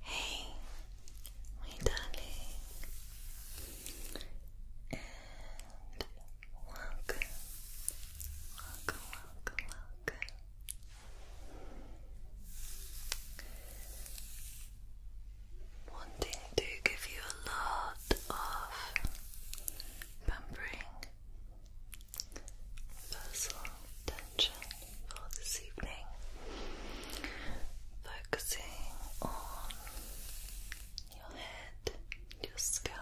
Hey, my darling, and welcome, welcome, welcome, welcome Wanting to give you a lot of pampering, personal attention for this evening, focusing on your head, your scalp,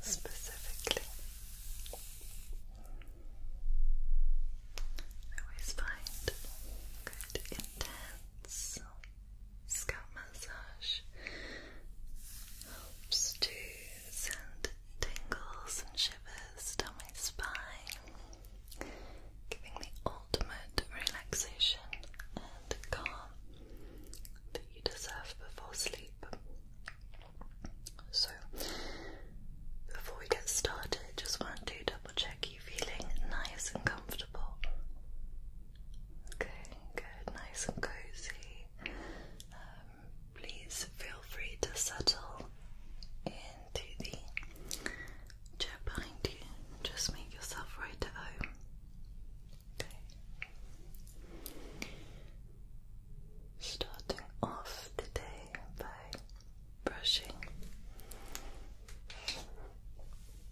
specifically. I always find good intense scalp massage helps to send tingles and shivers down my spine, giving the ultimate relaxation and calm that you deserve before sleep. So, before we get started, just want to double check you are feeling nice and comfortable. Okay, good, nice and cozy. Um, please feel free to settle into the chair behind you. Just make yourself right at home. Starting off the day by brushing,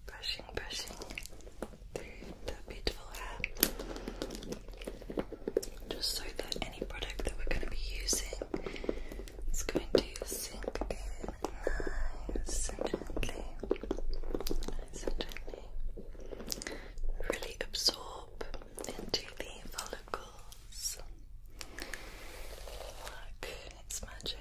brushing, brushing through beautiful hair, just so that any product that we're going to be using is going to sink in nice and gently, nice and gently, really absorb into the Look, it's magic.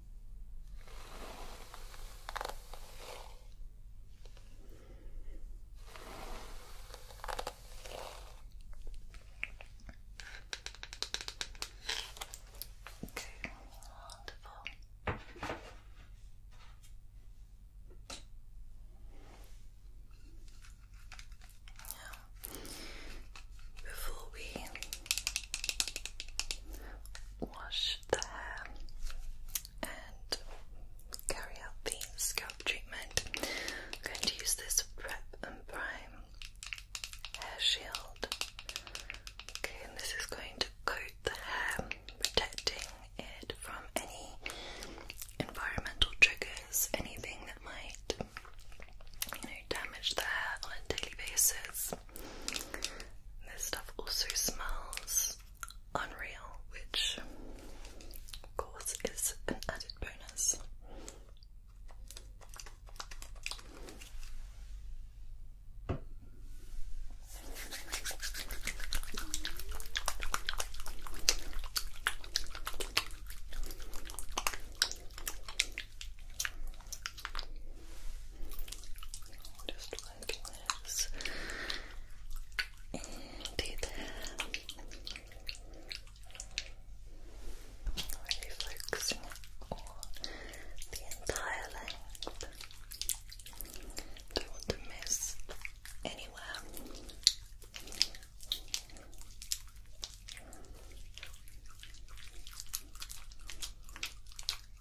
Okay, wonderful. Now, before we wash the hair and carry out the scalp treatment. I'm going to use this Prep and Prime hair shield. Okay, and this is going to coat the hair, protecting it from any environmental triggers, anything that might, damage the hair on a daily basis. This stuff also smells unreal, which of course is an added bonus. Just fabulous. Indeed, really focusing on the entire length. Don't want to miss anywhere.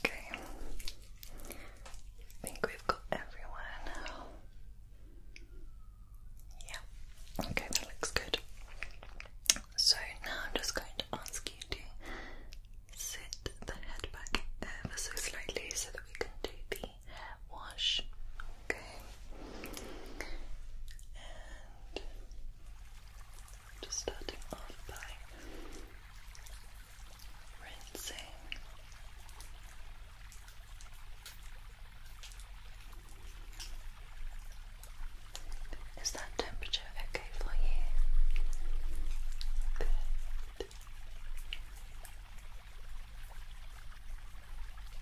Okay. I think we've got everyone Yeah. Okay, that looks good. So now I'm just going to ask you to sit the head back ever so slightly so that we can do the wash. Okay just starting off by rinsing. Is that temperature okay for you?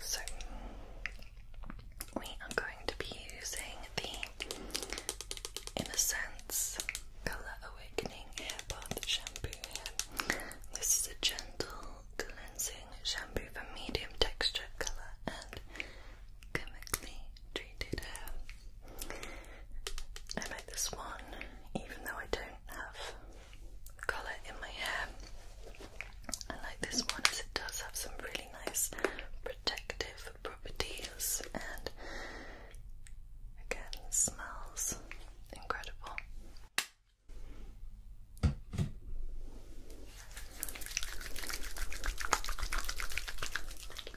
So we are going to be using the Innocence Colour Awakening Hair Bath Shampoo This is a gentle cleansing shampoo for medium texture, colour and chemically treated I like this one, even though I don't have colour in my hair. I like this one as it does have some really nice protective properties and again smells incredible. I'm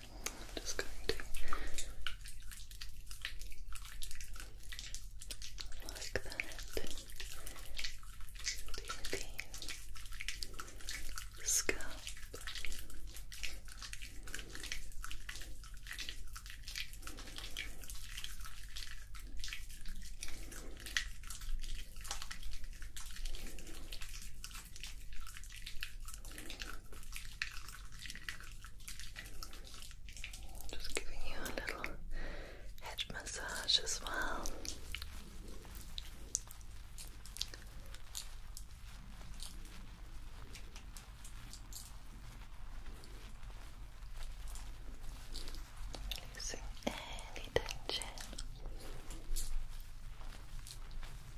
just going to like that the scalp just giving you a little head massage as well. Releasing any tension.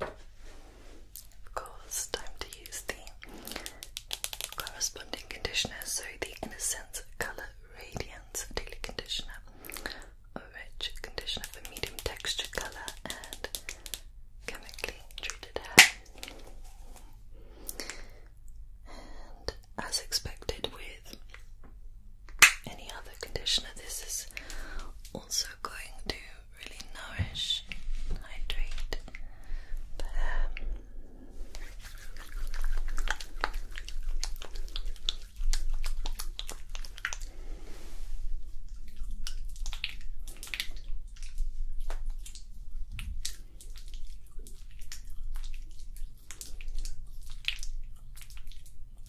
Of course, time to use the corresponding conditioner, so the Innocence Colour Radiance Daily Conditioner. A rich conditioner for medium texture, colour, and chemically treated hair. And as expected, we any other conditioner. This is also going to really nourish hydrate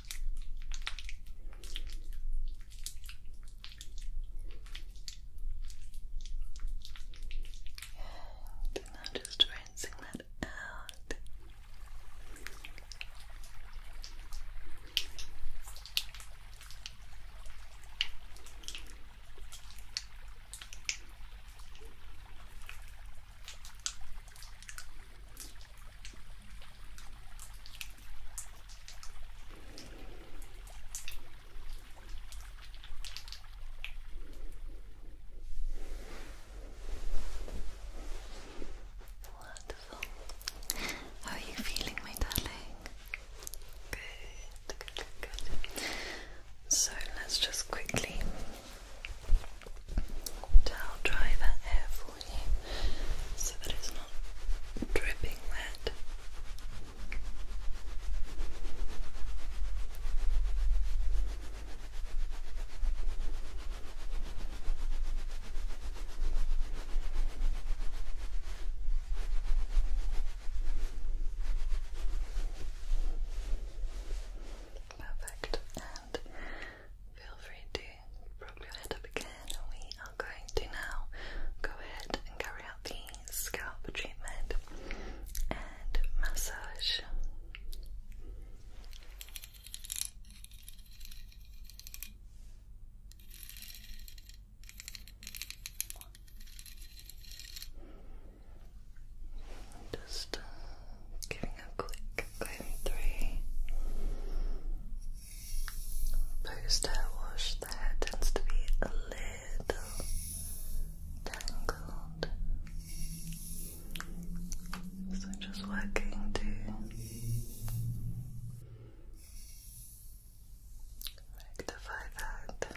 And now just rinsing that out. Wonderful. How are you feeling, my darling? Good, good, good, good. So let's just quickly towel dry so that it's not dripping wet. Perfect, and feel free to rub your head up again we are going to now go ahead and carry out the scalp treatment and massage. Just uh, giving a quick going through Post hair wash, the hair tends to be a little tangled. So I'm just working to rectify that.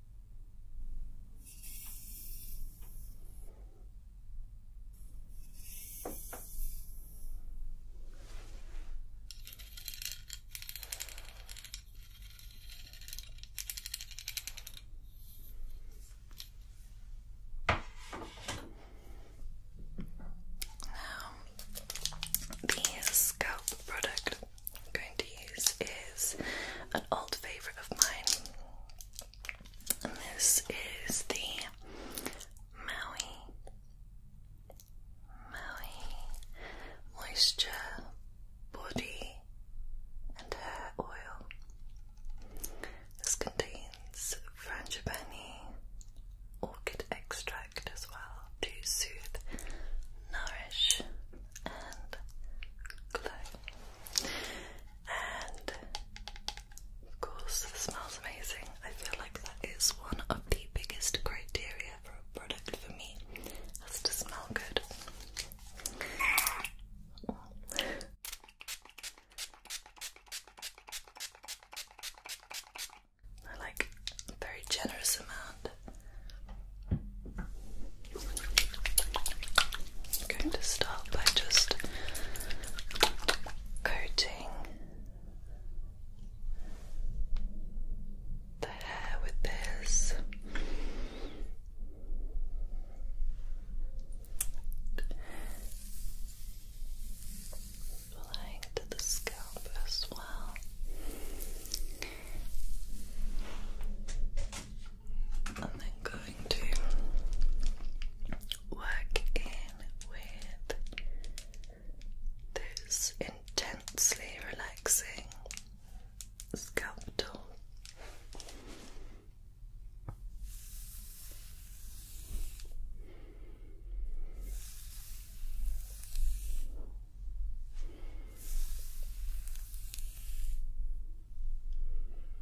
Now, the scalp product to use is an old favourite of mine. And this is the Maui Maui Moisture Body and Hair Oil. This contains frangipani orchid extract as well to soothe, nourish, and glow and of course it smells amazing. I feel like that is one of the biggest criteria for a product for me, has to smell good. Oh. I like a very generous amount I'm going to start by just coating the hair with this. Applying to the scalp as well. I'm then going to work in with those intensely relaxing scalpel. Just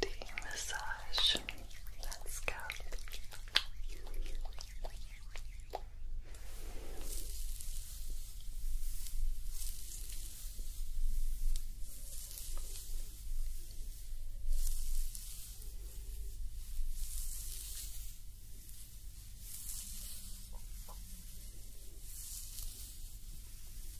D massage. Let's go. Good.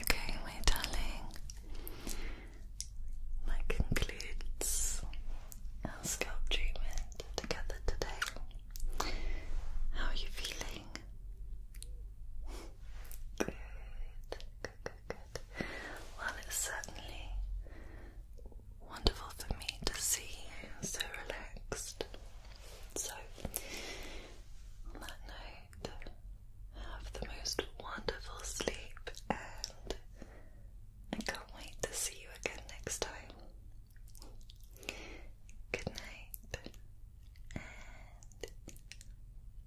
Okay, my darling, that concludes our scalp treatment together today. How are you feeling? Good, good, good, good. Well, it's certainly wonderful for me to see you so relaxed. So, on that note, have the most wonderful sleep, and I can't wait to see you again next time. Good night, and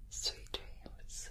sweet dreams.